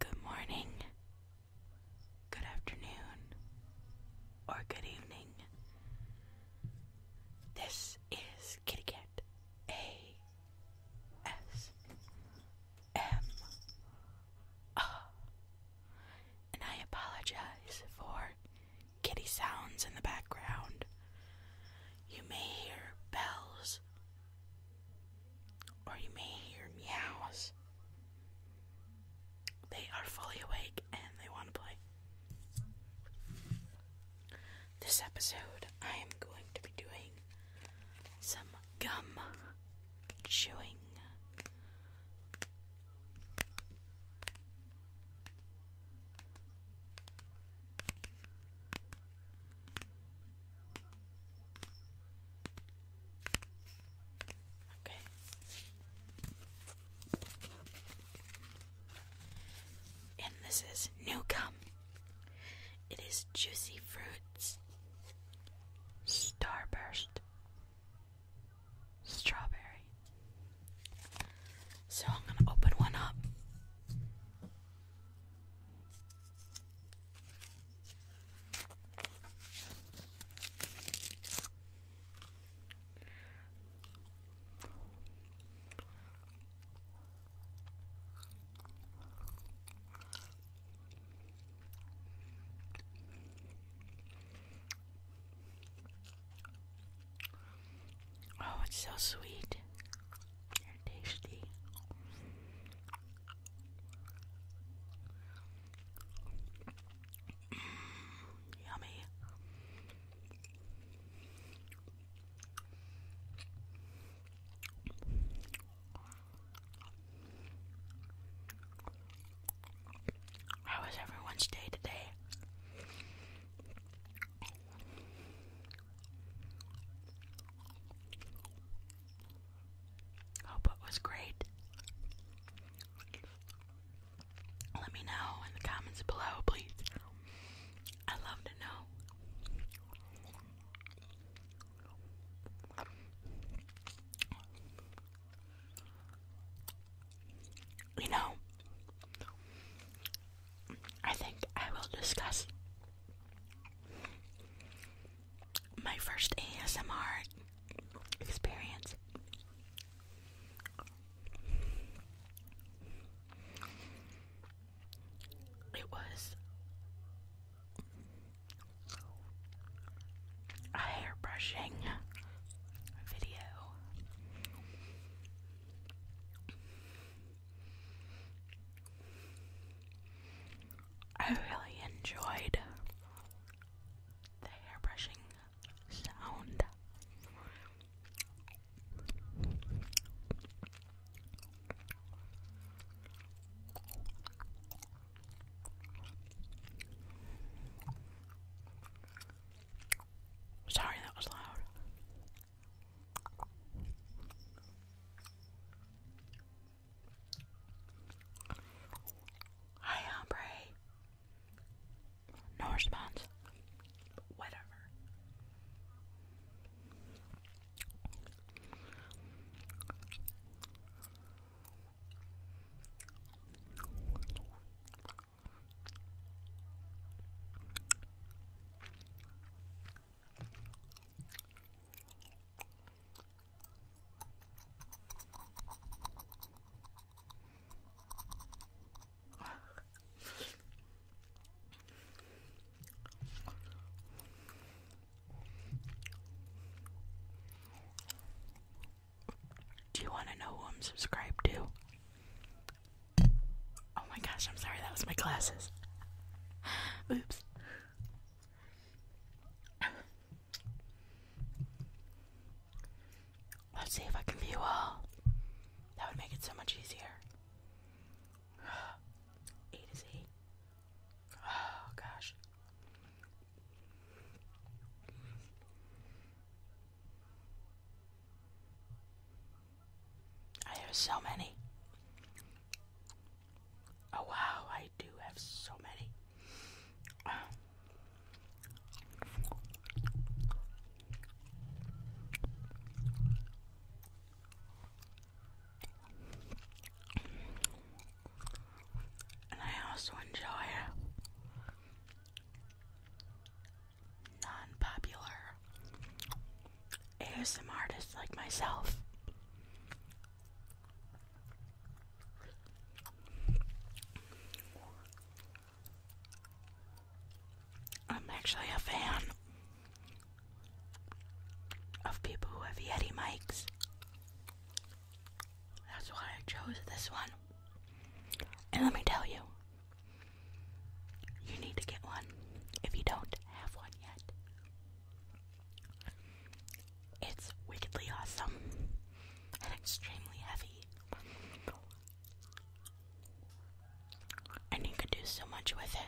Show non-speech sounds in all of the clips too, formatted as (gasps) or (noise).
Good morning, good afternoon, or good evening. This is Kitty Cat A S M R, ah. and I apologize for kitty sounds in the background. You may hear bells or you may hear meows. They are fully awake and they want to play. This episode, I am going to be doing some gum chewing. Okay. And this is new gum. It is Juicy Fruits, Starburst, Strawberry. So I'm going to open one up. Oh, it's so sweet tasty. Mm, yummy. How was everyone's day today? Hope it was great. Let me know in the comments below, please. I love to know. You know, I think I will discuss my first ASMR experience. It was a hairbrushing video. I really enjoyed the hairbrushing sound. Sorry, that was loud. Hi, hombre. No response. Whatever. Do you want to know who I'm subscribed to? Oh my gosh, I'm sorry, that was my glasses. Oops. Let's see if I can view all. That would make it so much easier. (gasps) A to Z. Oh gosh. I have so many. Oh wow, I do have so many. And I also enjoy non popular ASM artists like myself. I'm actually a fan of people who have Yeti mics. That's why I chose this one. And let me tell you, you need to get one if you don't have one yet. It's wickedly awesome and extremely heavy. And you can do so much with it.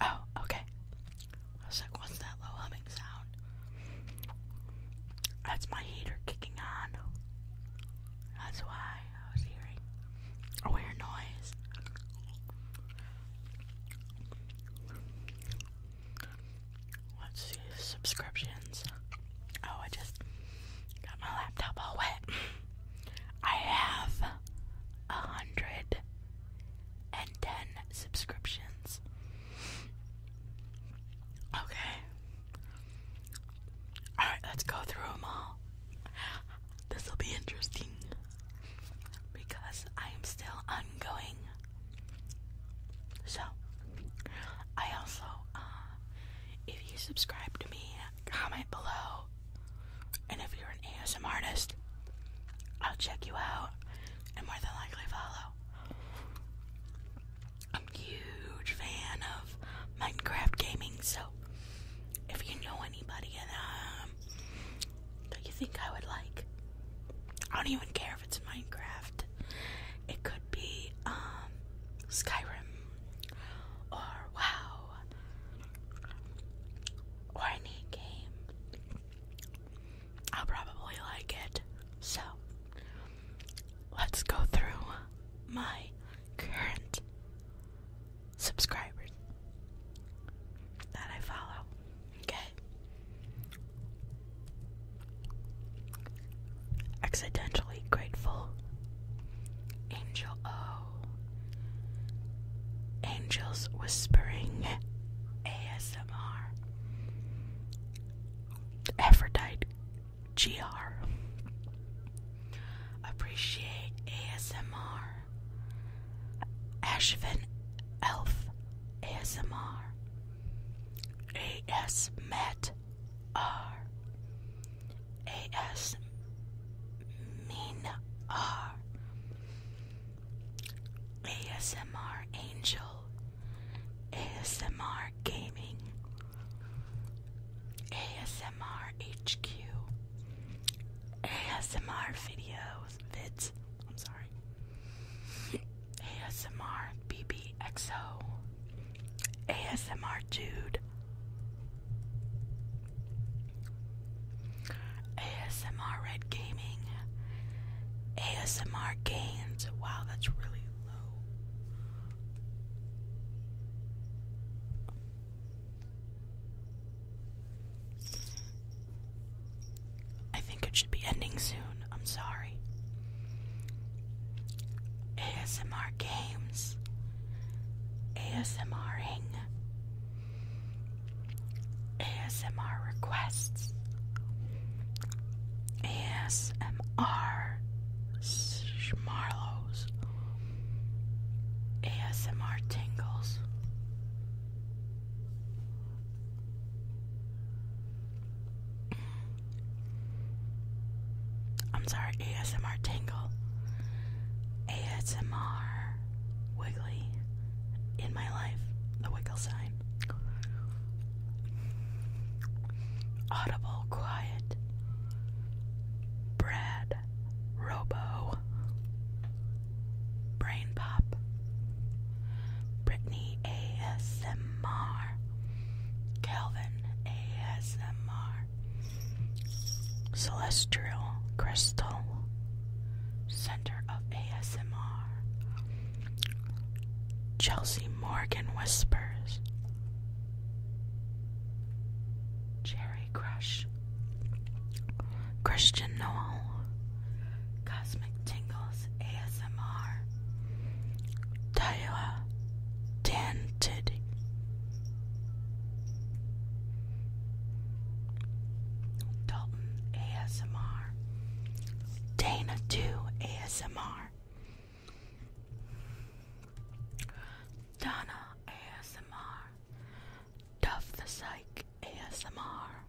Oh, okay. I was like, what's that low humming sound? That's my heater kicking on. That's why I was hearing a weird noise. Let's see subscriptions. Oh, I just got my laptop all wet. (laughs) I have a hundred and 10 subscriptions. Okay. Alright, let's go through them all. This will be interesting because I am still ongoing. So, I also, uh, if you subscribe to me, comment below. And if you're an ASM artist, I'll check you out and more than likely follow. I'm a huge fan of Minecraft gaming, so if you know anybody and um that you think I would like, I don't even care if it's Minecraft. It could be um Skyrim or WoW or any game. I'll probably like it. So, let's go through my current subscribers that I follow. Okay. Accidentally Grateful, Angel O, Angels Whispering ASMR Aphrodite GR Appreciate ASMR Ashvin Elf ASMR AS ASMR Angel, ASMR Gaming, ASMR HQ, ASMR Videos, Vids, I'm sorry, ASMR BBXO, ASMR Dude, ASMR Red Gaming. ASMR games. Wow, that's really low. I think it should be ending soon. I'm sorry. ASMR games. ASMRing. ASMR requests. ASMR schmarlows. ASMR tingles. I'm sorry, ASMR tingle. ASMR wiggly in my life. The wiggle sign. Audible Quiet. Brad Robo. Brain Pop. Brittany ASMR. Calvin ASMR. Celestial Crystal Center of ASMR. Chelsea Morgan Whispers. Cherry Crush. Christian Noel. Cosmic Tingles ASMR. Daiwa Tan Tiddy. Dalton ASMR, Dana 2 ASMR, Donna ASMR, Duff the Psych ASMR,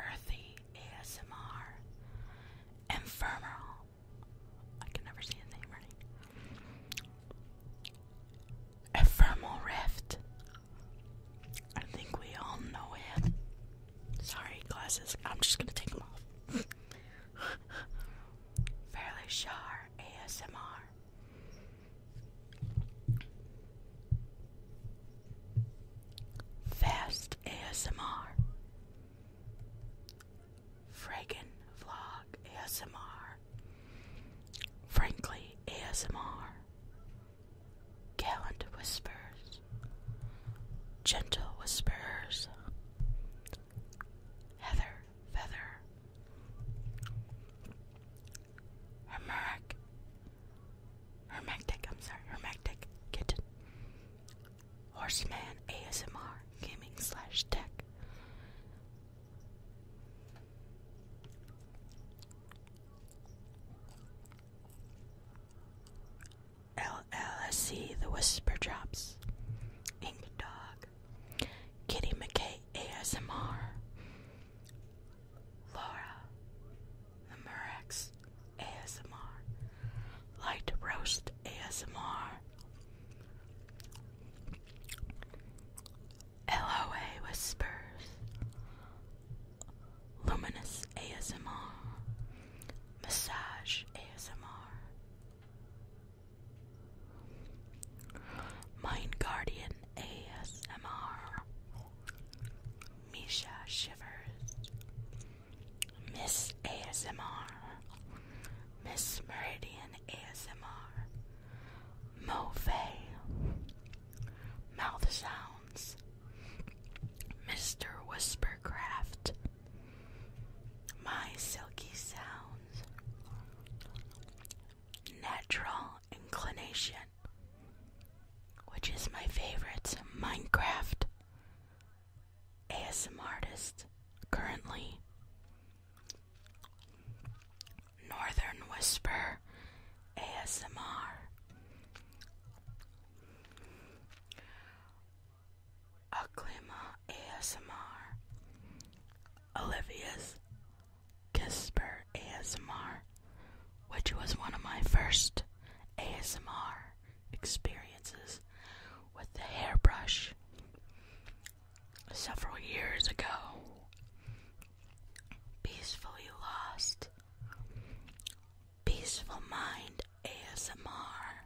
Earthy ASMR, Infernal. I can never see his name right. Ephemeral Rift I think we all know it. Sorry, glasses. I'm just gonna take them off. (laughs) Fairly Shar ASMR. Fast ASMR. Fragan Vlog ASMR. Frankly, ASMR. Gallant whispers. Gentle whispers. Heather feather. Hermeric. Hermactic, I'm sorry, hermactic kitten. Horseman ASMR gaming slash tech. LLSC The Whisper Drops, Ink Dog, Kitty McKay ASMR, Laura, The Murex ASMR, Light Roast ASMR, LOA Whispers, Luminous ASMR, Massage ASMR, Mind Guardian ASMR, Misha Shivers, Miss ASMR, Miss Meridian ASMR. Mofay, Mouth Sounds, Mr. Whispercraft, My Silky Sounds, Natural Inclination, which is my favorite Minecraft ASM artist currently. Northern Whisper ASMR. Aklima ASMR. Olivia's Kisper ASMR, which was one of my first ASMR experiences with the hairbrush several years ago, peacefully lost. Peaceful Mind ASMR.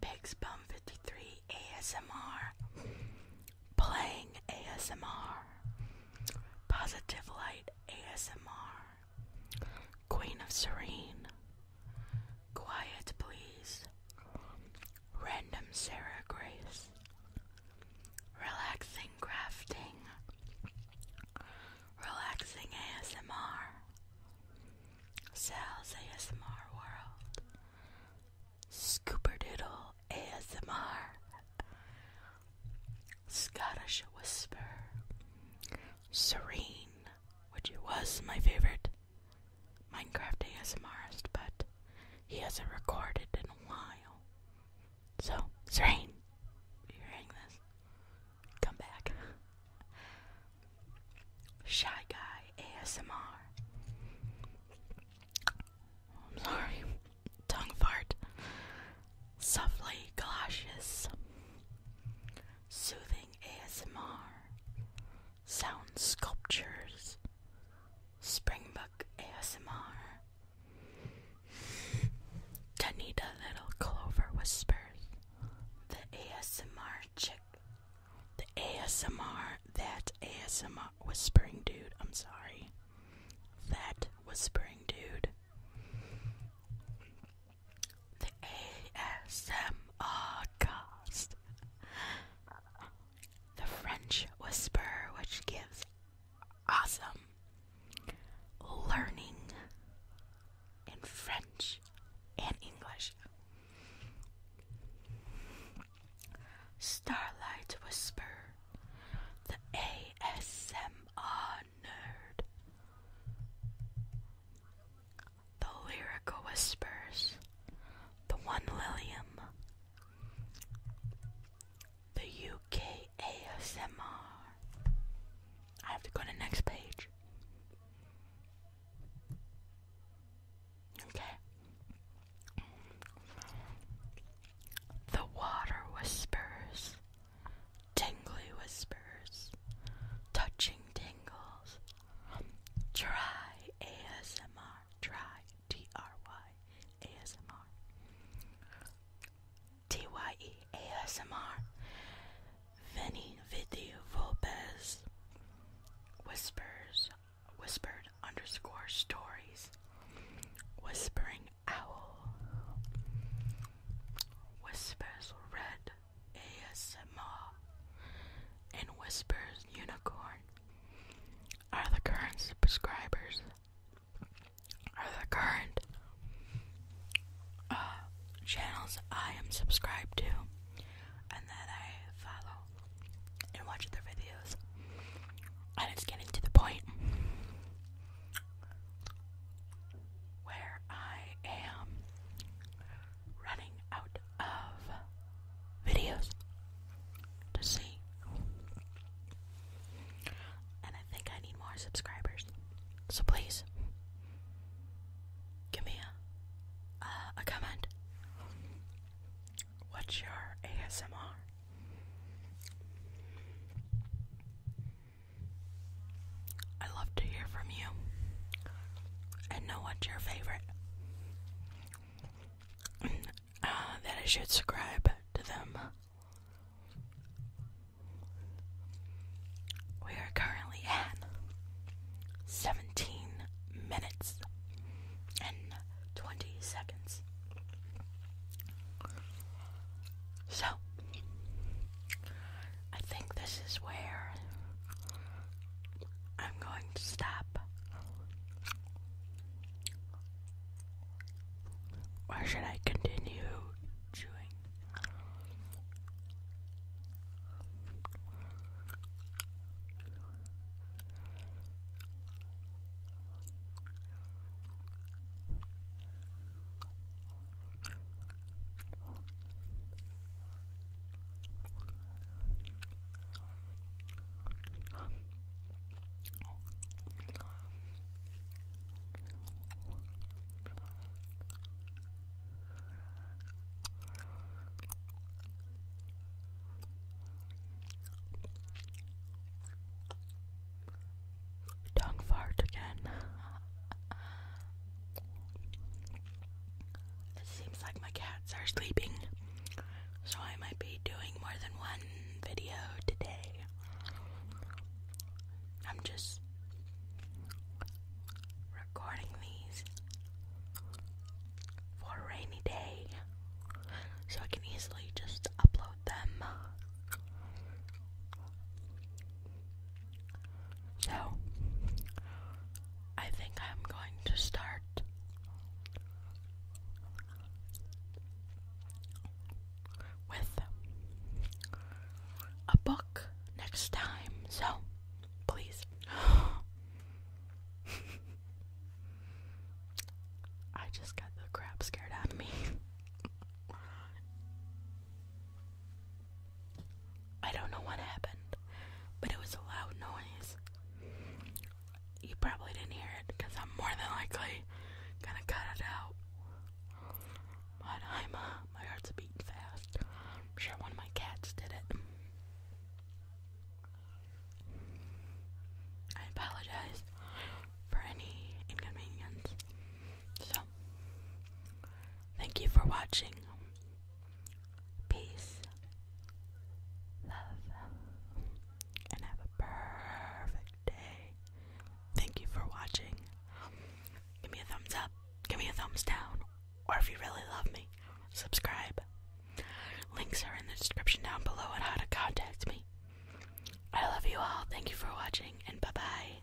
Big Spum 53 ASMR. Playing ASMR. Positive Light ASMR. Queen of Serene. Quiet Please. Random Sarah Grace. Relaxing crafting. Relaxing ASMR. Sal's ASMR World. Scooperdoodle ASMR. Scottish Whisper. Serene, which was my favorite Minecraft ASMR, but he hasn't recorded in a while. So, Zrain, you're hearing this, come back. Shy Guy ASMR. I'm sorry, tongue fart. Softly galoshes. Soothing ASMR sound sculptures, Springbuck ASMR, Tanita Little Clover Whispers, the ASMR chick, the ASMR, that ASMR whispering dude, I'm sorry, that whispering dude, the ASMR cast the French whisper, which gives awesome learning in French and English. Starlight Whisper, the ASMR nerd. The Lyrical Whispers, The One Lilium, The UK ASMR. I have to go to the next page. Okay. The Water Whispers, Tingly Whispers, Touching Tingles, Try ASMR. Try T R Y ASMR. T Y E ASMR. Vinny Vidya Volpes. Whispers. Whispered underscore stories. Whispering Owl. Whispers Red ASMR and Whispers Unicorn are the current subscribers. Are the current uh, channels I am subscribed to and that I follow and watch their videos. And it's getting to the point where I am running out of videos to see. And I think I need more subscribers. So please give me a uh, a comment. What's your ASMR? I love to hear from you and know what your favorite uh, that I should subscribe to them. We are currently at 17 minutes and 20 seconds. So, I think this is where I'm going to stop. Or should I continue chewing? Tongue fart again. (laughs) It seems like my cats are sleeping, so I might be doing more than one video today. I'm just recording these for a rainy day so I can easily just upload them. So, I think I'm going to start with a book next time. So, please. I just got the crap scared out of me. I don't know what happened, but it was a loud noise. You probably didn't hear it because I'm more than likely gonna cut it out. But I'm, uh, my heart's beating fast. I'm sure one of my cats did it. I apologize for any inconvenience. So, thank you for watching peace, love, and have a perfect day. Thank you for watching. Give me a thumbs up, give me a thumbs down, or if you really love me, subscribe. Links are in the description down below on how to contact me. I love you all. Thank you for watching, and bye bye.